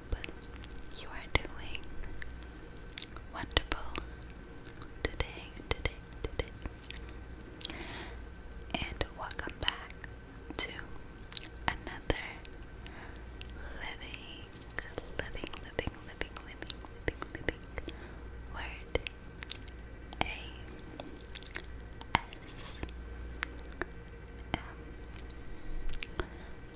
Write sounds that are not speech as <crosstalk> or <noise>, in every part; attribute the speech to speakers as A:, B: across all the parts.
A: hope you are doing wonderful today, today, today. And welcome back to another living, living, living, living, living, living, living word. A S M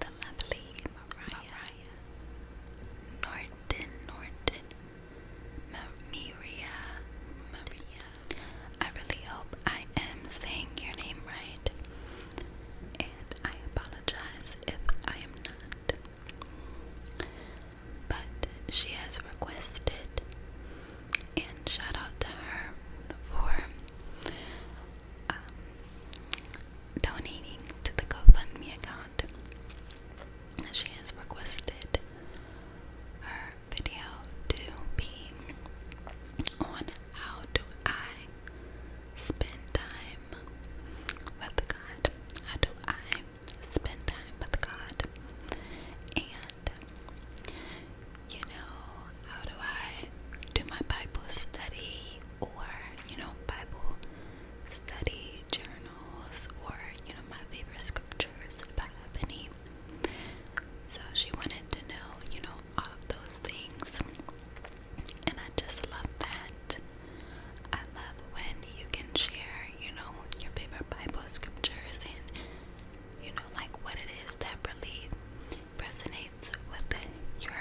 A: the lovely Mariah, Norton, Norton, Maria, Maria. I really hope I am saying your name right, and I apologize if I am not. But she has requested, and shout out to her for. Um, donating to the GoFundMe account. She has requested her video to be on how do I spend time with God. How do I spend time with God? And you know, how do I do my Bible study or you know Bible study journals or you know my favorite scriptures if I have any. So she wanted to know, you know, all of those things. And I just love that. I love when you can share, you know, your favorite Bible scriptures and you know like what it is that really resonates with your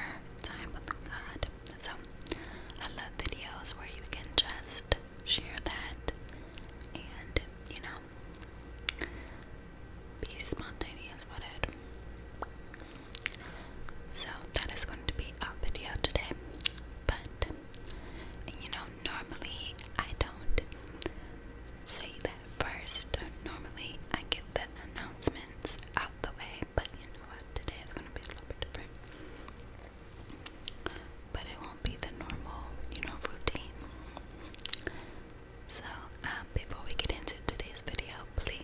A: time with God. So I love videos where you can just share that and, you know, be spontaneous with it. So that is going to be our video today. But, you know, normally I don't say that first. Normally I get the announcements out the way but you know what? Today is gonna be a little bit different. But it won't be the normal, you know, routine. So, um, before we get into today's video, please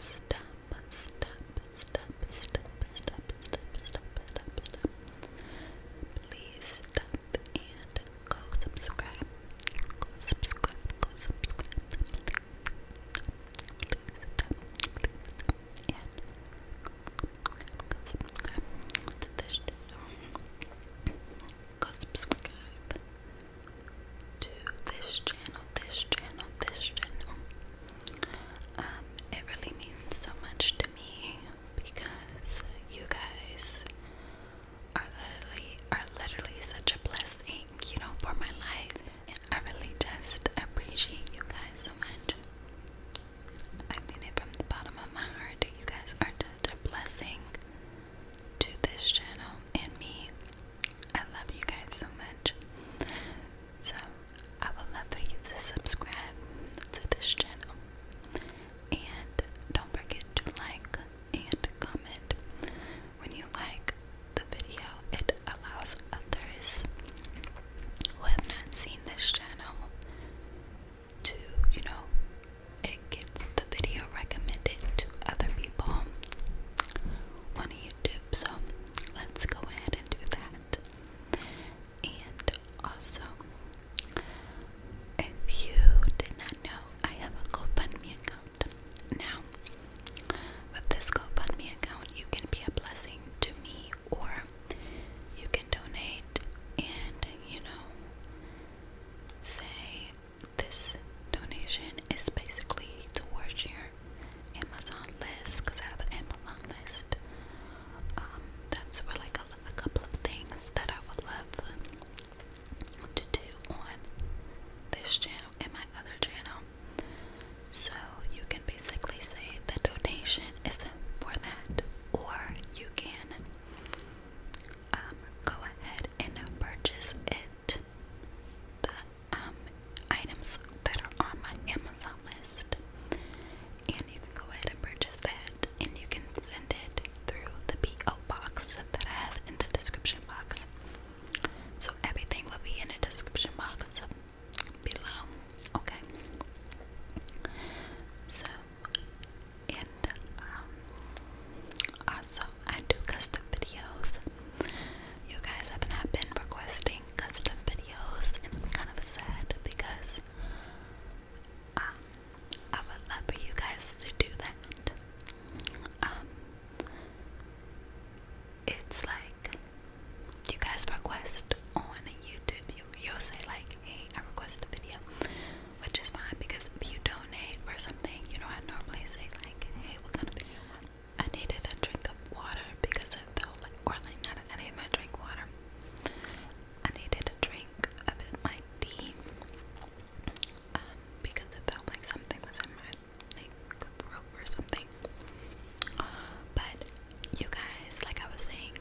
A: stop, stop, stop, stop, stop, stop, stop, stop, stop. Please stop and go subscribe. Go subscribe, go subscribe subscribe to this channel, this channel, this channel. Um, it really means so much to me because you guys are literally are literally such a blessing, you know, for my life. I really just appreciate you guys so much. I mean it from the bottom of my heart. You guys are just a blessing to this channel and me. I love you guys so much. So, I would love for you to subscribe to this channel. And don't forget to like and comment. When you like, the video, it allows others who have not seen this channel to, you know, it gets the video recommended to other people on YouTube. So let's go ahead and do that. And also, if you did not know, I have a GoFundMe account now. With this GoFundMe account, you can be a blessing to me or you can donate and, you know, say this donation is basically towards your Amazon list I have an Amazon list. Um, that's for like a couple of things that I would love to do on this channel and my other channel. So you can basically say the donation is for that, or you can um, go ahead and purchase it. The um, items that are on my Amazon list, and you can go ahead and purchase that, and you can send it through the PO box that I have in the description box. So everything will be in the description box below. Okay. So and um, also I do custom videos. You guys have not been requesting custom videos and I'm kind of sad because um, I would love for you guys to do that. Um, it's like you guys request on YouTube. You, you'll say like, hey, I request a video, which is fine because if you donate or something, you know, I normally say like, hey, what kind of video you I needed a drink of water because it felt like, or like not, I did my drink water. I needed a drink a bit my tea, um, because it felt like something was in my like rope or something. But you guys, like I was saying,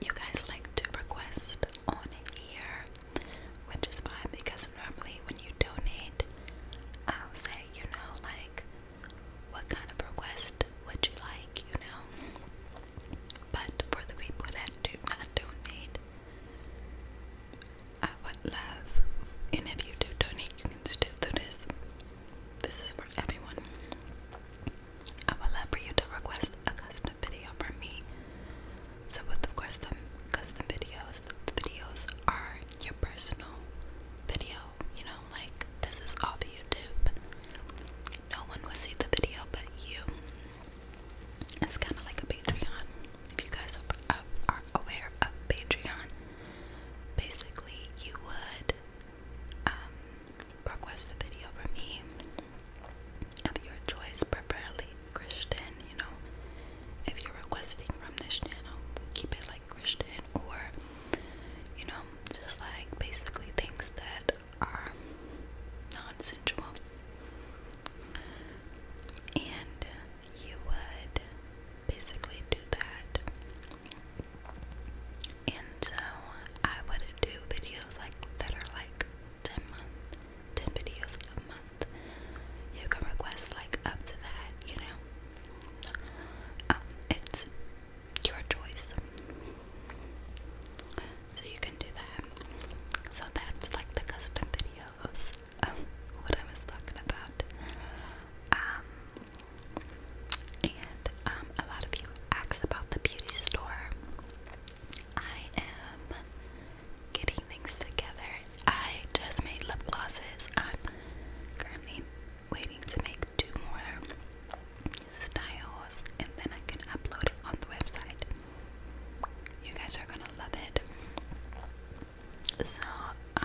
A: you guys like to request on here, which is fine because normally when you donate, I'll say, you know, like what kind of request would you like, you know? But for the people that do not donate, I would love, and if you do donate, you can still do this. This is for everyone. I would love for you to request a custom video for me. So, with the custom videos, the videos are your personal video. You know, like this is all for YouTube. No one will see the video but you. It's kind of like a Patreon if you guys uh, are aware of Patreon, basically you would um, request a video from me of your choice, preferably Christian, you know. If you're requesting from this channel, keep it like Christian or, you know, just like basically things that are non sensual. And you would basically do that. And so I would do videos like that are like 10 month, 10 videos a month. You can request like up to that, you know. Um, it's your choice. So you can do that. So that's like the custom videos. Um, what I was talking about. Um, and um, a lot of you ask about the beauty store. I am getting things together. I just made lip glosses. I'm currently waiting to make two more styles and then I can upload it on the website. You guys are gonna love it. So, um,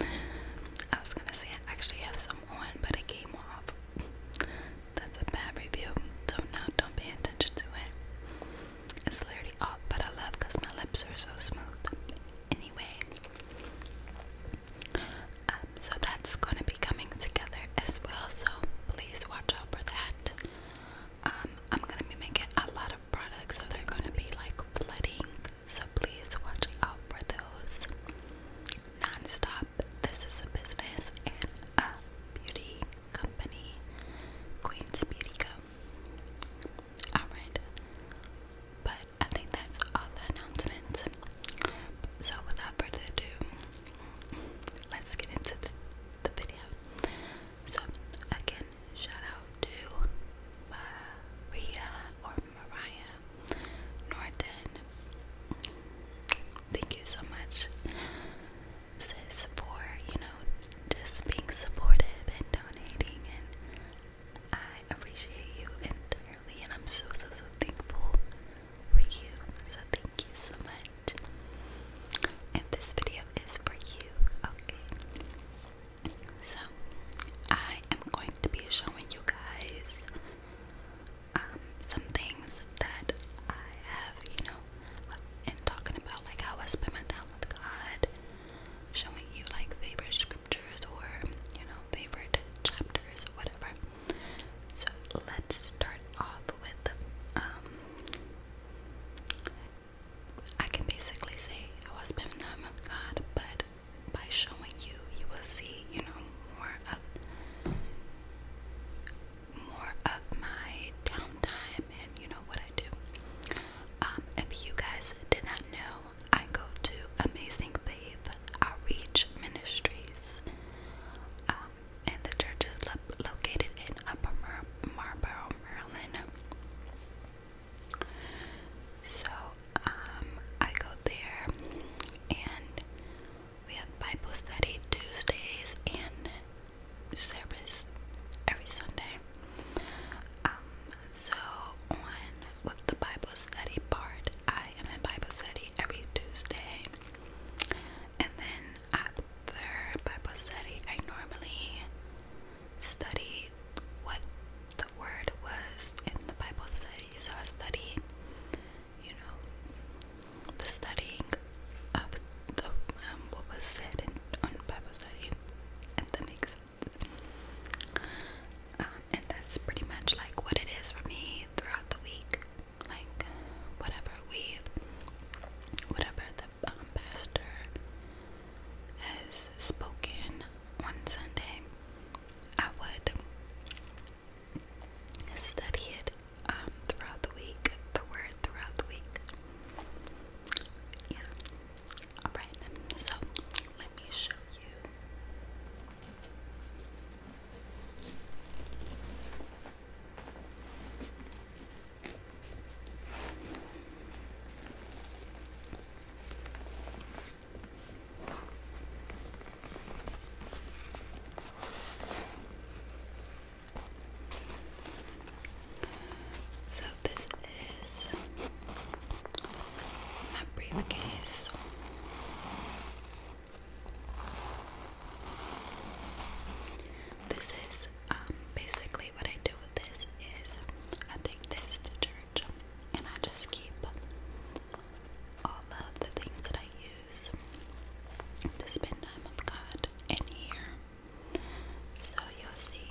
A: <laughs> I was gonna say I actually have some on, but it came off. That's a bad review, so now don't pay attention to it. It's literally off, but I love because my lips are so smooth. Anyway, um, so that's gonna be coming together as well, so please watch out for that. Um, I'm gonna be making a lot of products, so they're gonna be like flooding. So please watch out for those. Non-stop. This is a business and a beauty company, Queen's Beauty Co. Alright. But I think that's all the announcements. So without further ado, let's get into the video. So again, shout out to Maria or Mariah Norton. Thank you so much, sis, for you know just being supportive and donating, and I appreciate you entirely, and I'm so so so thankful for you. So thank you so much. And this video is for you, okay? So, I am going to be showing you guys um, some things that I have, you know, and talking about like how I spend my time with God, showing you like favorite scriptures or, you know, favorite chapters whatever. So, let's start off with um, I can basically say I was baptized with God, but by showing you, you will see, you know, more of more of my downtime and you know what I do. Um, if you guys did not know, I go to Amazing Babe Outreach Ministries, um, and the church is located in Upper Marlboro, Maryland. So, um, I go there and we have Bible study Tuesdays and service every Sunday. Um, so on with the Bible study part, I am in Bible study every Tuesday. And then after Bible study, I normally study what the word was in the Bible study. So I study, you know, the studying of the, um, what was said in, Bible study, and that makes sense. Um, and that's pretty much like what it is for me throughout the week. Like whatever we whatever the um, pastor has spoken on Sunday, I would study it um, throughout the week, the word throughout the week. Yeah. Alright, so let me show you. So this is my briefcase. This is um, basically what I do with this is I take this to church and I just keep all of the things that I use to spend time with God in here. So you'll see.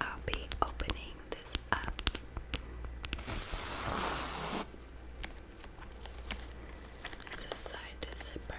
A: I'll be opening this up. It's a side zipper.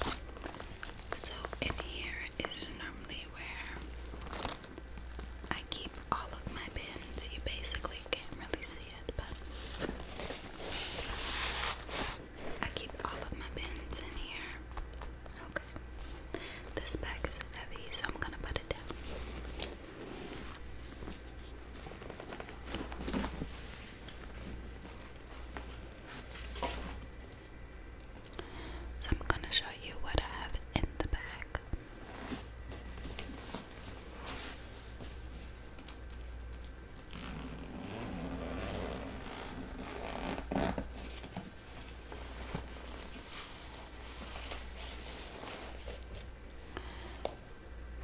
A: So in here is normally where I keep all of my pins. You basically can't really see it, but I keep all of my pins in here. Okay. This bag is heavy, so I'm gonna put it down. So I'm going to show you what I have in the bag.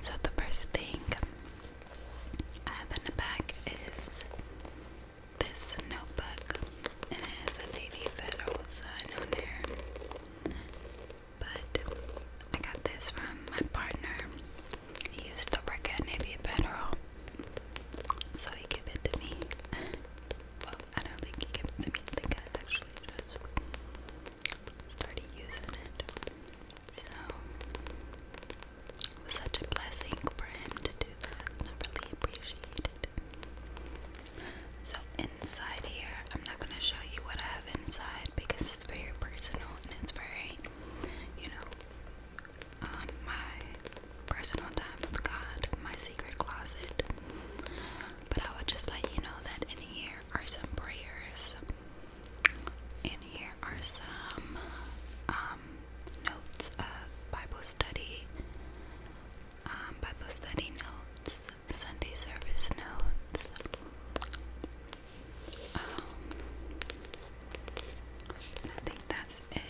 A: So, the first thing I have in the bag is this notebook. and It has a Navy Federal sign on there. But I got this from my partner. He used to work at Navy Federal. So he gave it to me. well, I don't think he gave it to me. I think I actually just started using it. So it was such a blessing for him to do that, I really appreciate it. So inside here, I'm not gonna show you what I have inside because it's very personal and it's very, you know, um, my personal time with God, my secret closet. But I would just let you know that in here are some prayers and here are some um, notes of Bible study, um, Bible study notes, Sunday service notes. Um, I think that's it.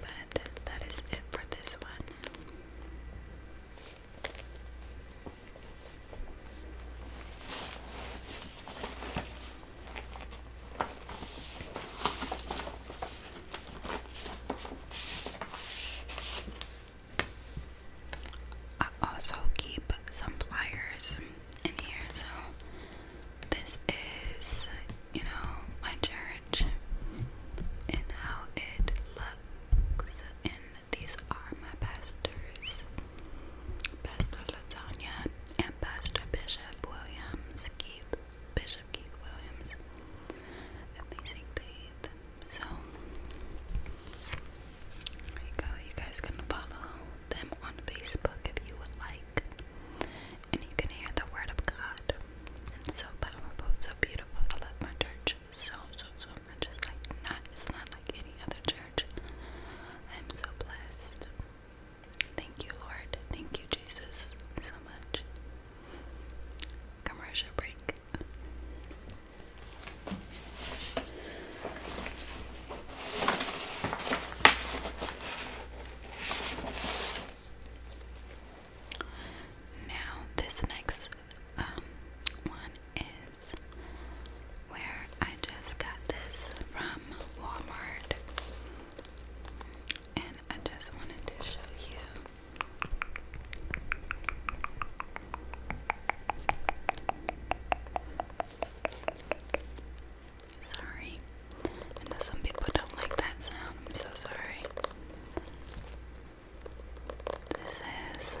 A: But that is it for this one. I also keep some pliers and here. So this is, you know, my church and how it looks. And these are my pastors. Pastor Lasagna and Pastor Bishop Williams. Keep Bishop Keith Williams. Amazing faith. So you guys can follow them on Facebook if you would like. And you can hear the word of God. It's so powerful, so beautiful. I love my church so, so, so much. It's not, it's not like any other church. I'm so blessed. Thank you, Lord. Thank you, Jesus, so much. Commercial break. Now, this next um, one is where I just got this from Walmart, and I just wanted to show you. Sorry. I some people don't like that sound. I'm so sorry. This is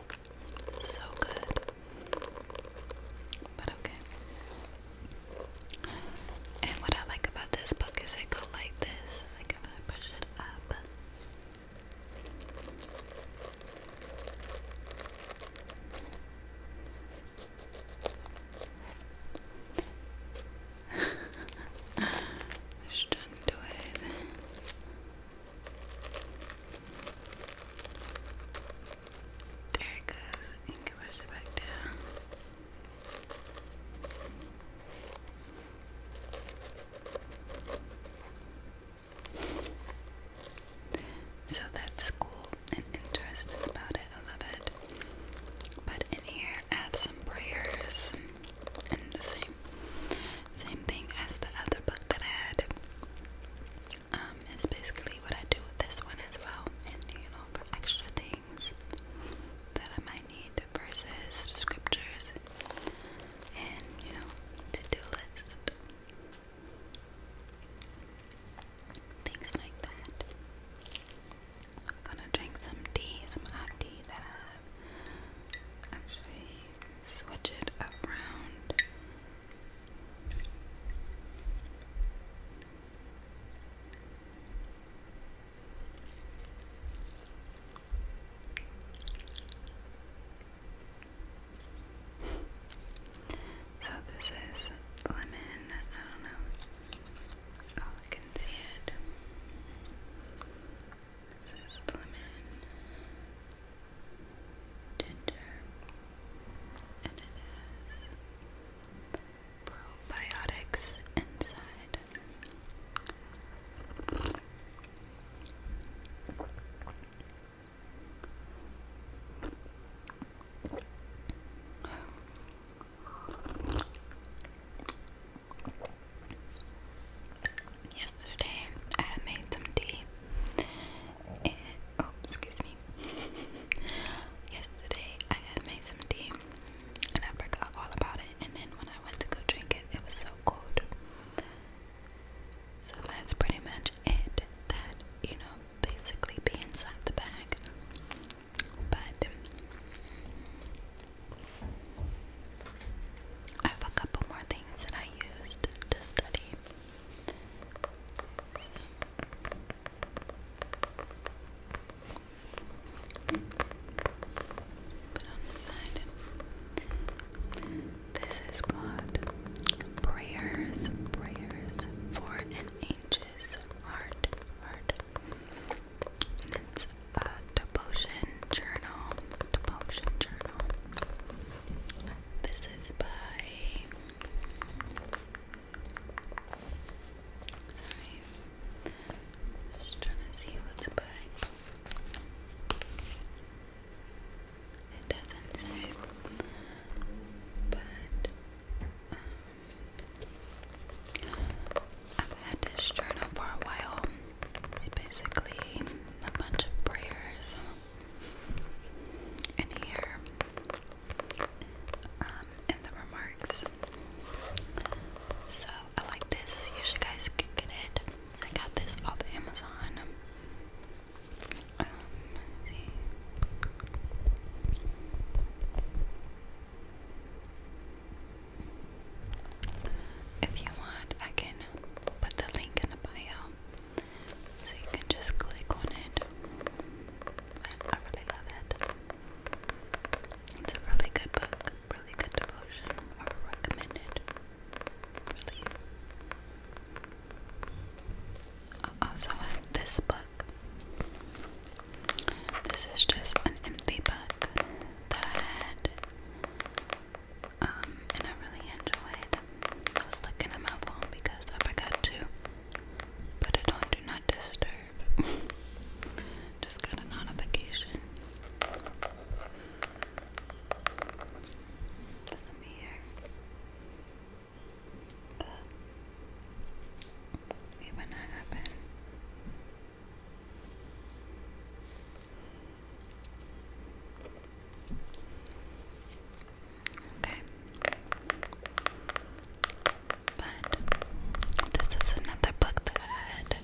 A: So good. But okay. And what I like about this book is it goes like this. Like if I push it up. <laughs> Just undo it. There it goes. You can push it back down. So that's cool and interesting about it. I love it. But in here, add some prayers and the same, same thing as the other book that I had um, basically what I do with this one as well, and you know, for extra things that I might need, verses, scriptures, and you know, to-do list, things like that. I'm gonna drink some tea, some hot tea that Actually, switch it around so this is lemon, I don't know. Oh, I can see it. This is lemon ginger, and it has probiotics inside. Yesterday, I made some tea oh, excuse me. <laughs> Yesterday I had made some tea and I forgot all about it. And then when I went to go drink it, it was so cold. So that's pretty much it. That, you know, basically be inside the bag. But I have a couple more things that I used to study. Put on This is called Prayers, Prayers for an Anxious Heart, Heart. it's a devotion journal, devotion journal. This is by. Just trying to see what's by. It doesn't say. But. Um, I've had this journal for a while. It's basically a bunch of prayers in here um, in the remarks. So I like this. You guys can get it. I got this off Amazon. Um, if you want, I can put the link in the bio so you can just click on it. I really love it. It's a really good book, really good devotion. I would also this book. This is just an empty book that I had um, and I really enjoyed. I was looking at my phone because I forgot to put it on Do Not Disturb. <laughs> Just got a notification. Some here. Uh, even that happened. Okay. But this is another book that I had.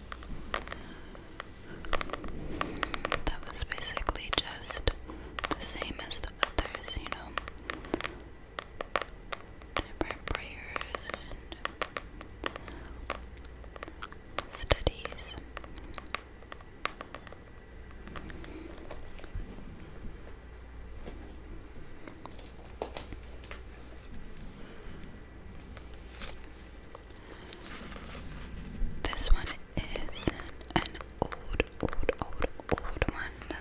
A: That was basically just the same as the others, you know. Different prayers and studies. This one is an old, old, old, old one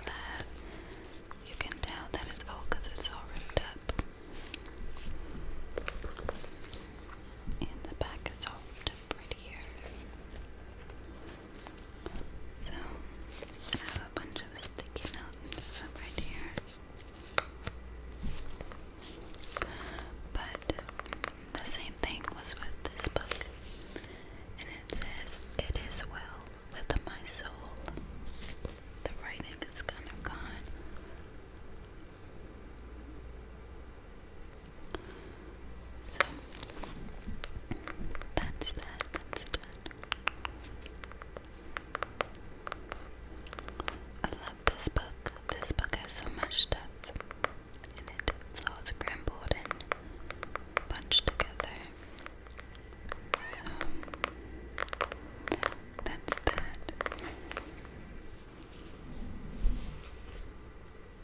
A: You can tell that it's old because it's all ripped up. And the back is old prettier. So, I have a bunch of sticky notes stuff right here. But the same thing was with this book. And it says, It is well with my soul. The writing is kind of gone. So that's that, that's that. I love this book. This book has so much stuff in it. It's all scrambled and bunched together. So that's that.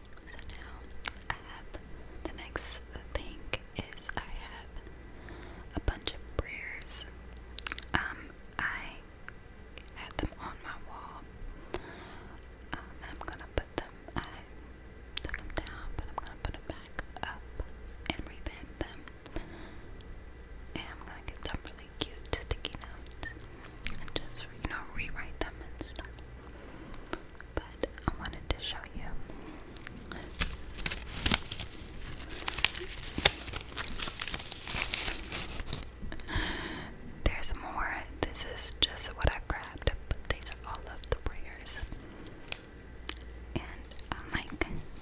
A: So now I have the next thing is I have a bunch of prayers. Um, I had them on my wall. Um, I'm gonna put them. I took them down, but I'm gonna put them back up and revamp them. And I'm gonna get some really cute sticky notes and just you know rewrite them and stuff but I wanted to show you. <laughs> There's more. This is just what I grabbed, but these are all of the prayers. And I like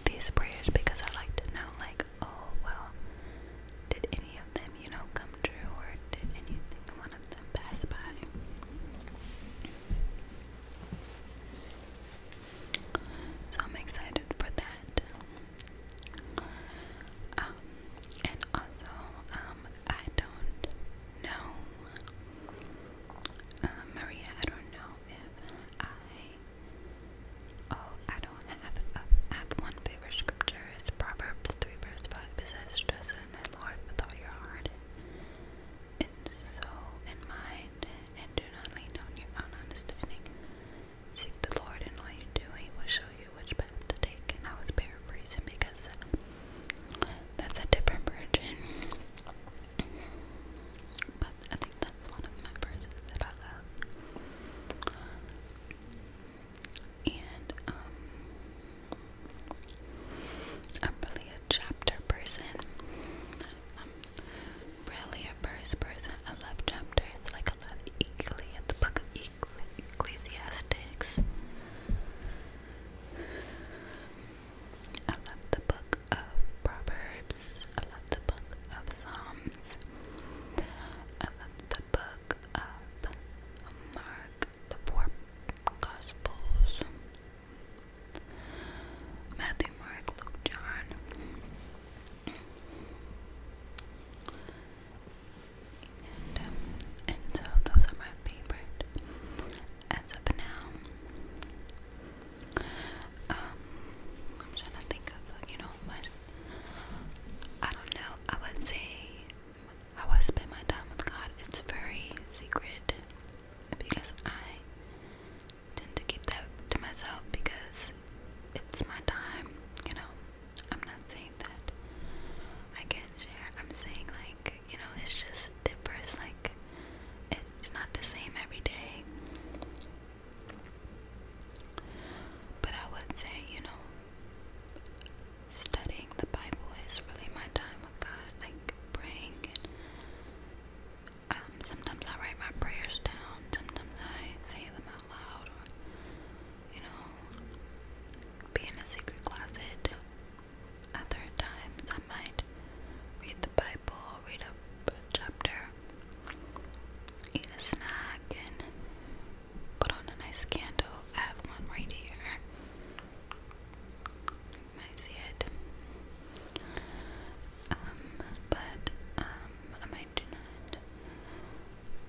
A: these prayers because I like to know, like, oh, well, did any of them, you know, come true or did anything one of them pass by? So I'm excited for that. Um, and also, um, I don't know, uh, I don't know if I, oh, I don't have, a, uh, I have one favorite scripture, it's Proverbs 3 verse 5, it says, trust trusted in Lord with all your heart and soul and mind, and do not lean on your own understanding. Seek the Lord in all you do, He will show you which path to take. And I was paraphrasing because that's a different version. But I think that's one of my verses that I love. And, um, I'm um, really a chapter person. I'm really a verse person. I love chapters. Like I love Ecclesiastes, I love the book of Proverbs. I love the book of Psalms. I love the book of Mark the four Gospels Matthew, Mark, Luke, John. Um, and, so those are my favorite as of now. Um, I'm trying to think of, you know, what I don't know. I would say I I spend my time with God, it's very secret because I tend to keep that to myself because it's my time, you know. I'm not saying that I can't share. I'm saying like, you know, it's just differs like it's not the same every day. But I would say, you know, studying the Bible is really my time with God, like praying. Um, sometimes I write my prayers down. Sometimes I say them out loud, you know, be in a secret closet. Other times I might read the Bible, read a chapter, eat a snack, and put on a nice candle. I have one right here. You see it. Um, but um, I might do not.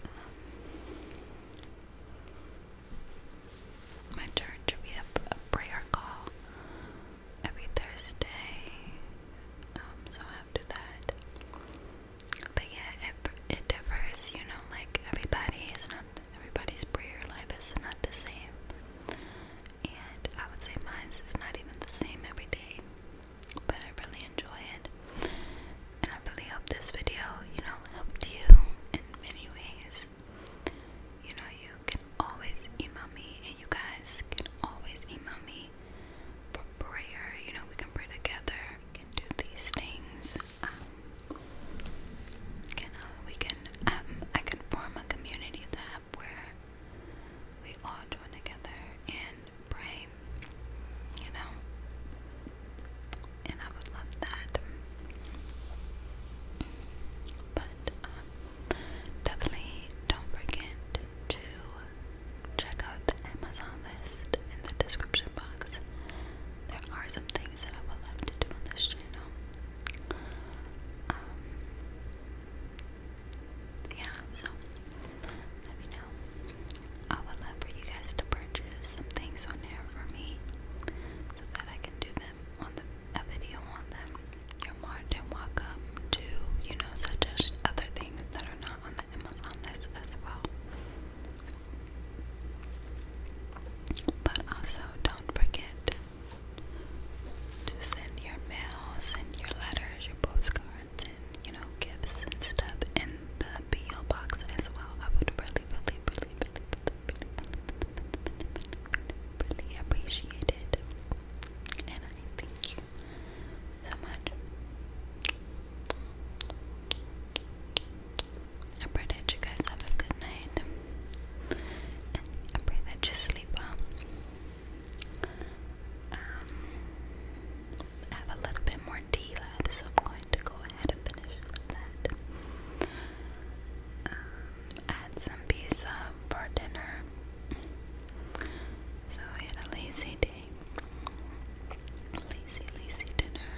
A: Um, my church we have a prayer call every Thursday, um, so I that. But yeah, it it differs, you know. Like everybody is not Everybody's prayer life is not the same. And I would say mine is not even the same every day. But I really enjoy it. And I really hope this video, you know, helped you in many ways. You know, you can always email me, and you guys can always email me for prayer. You know, we can pray together, we can do these things um, can uh, we can um, I can form a community tab where we all join together and pray, you know, and I would love that. But um, definitely don't forget to check out the Amazon list in the description box there are some things that I would love to do on this channel. Um, yeah, so let me know. I would love for you guys to purchase things on there for me so that I can do them on a video on them. You're more than you know, suggest other things that are not on the Amazon list as well. But also, don't forget to send your mail, send your letters, your postcards, and you know, gifts and stuff in the PO box as well. I would really, really, really, really, really, really, really appreciate it. And I thank you so much. I pray that you guys have a good night. I pray that you sleep well. Um, have a little bit more tea so I'm going to go ahead and finish that. Um, some pizza for dinner, so we had a lazy day. Lazy, lazy dinner.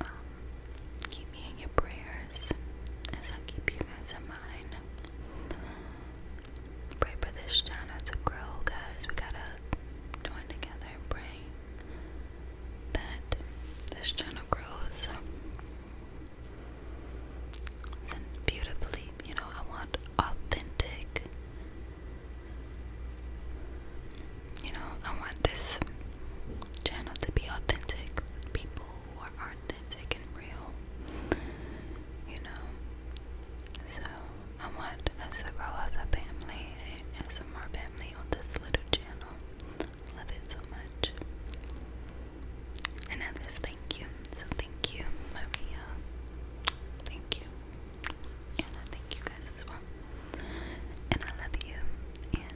A: Um, keep me in your prayers as I keep you guys in mind. Pray for this channel to grow, guys. We gotta join together and pray that this channel grows beautifully. You know, I want authentic you know, I want this channel to be authentic people who are authentic and real, you know. So I want us to grow as a family, and as more family on this little channel. Love it so much. And I thank you. So thank you, Maria. Thank you. And thank you guys as well. And I love you. And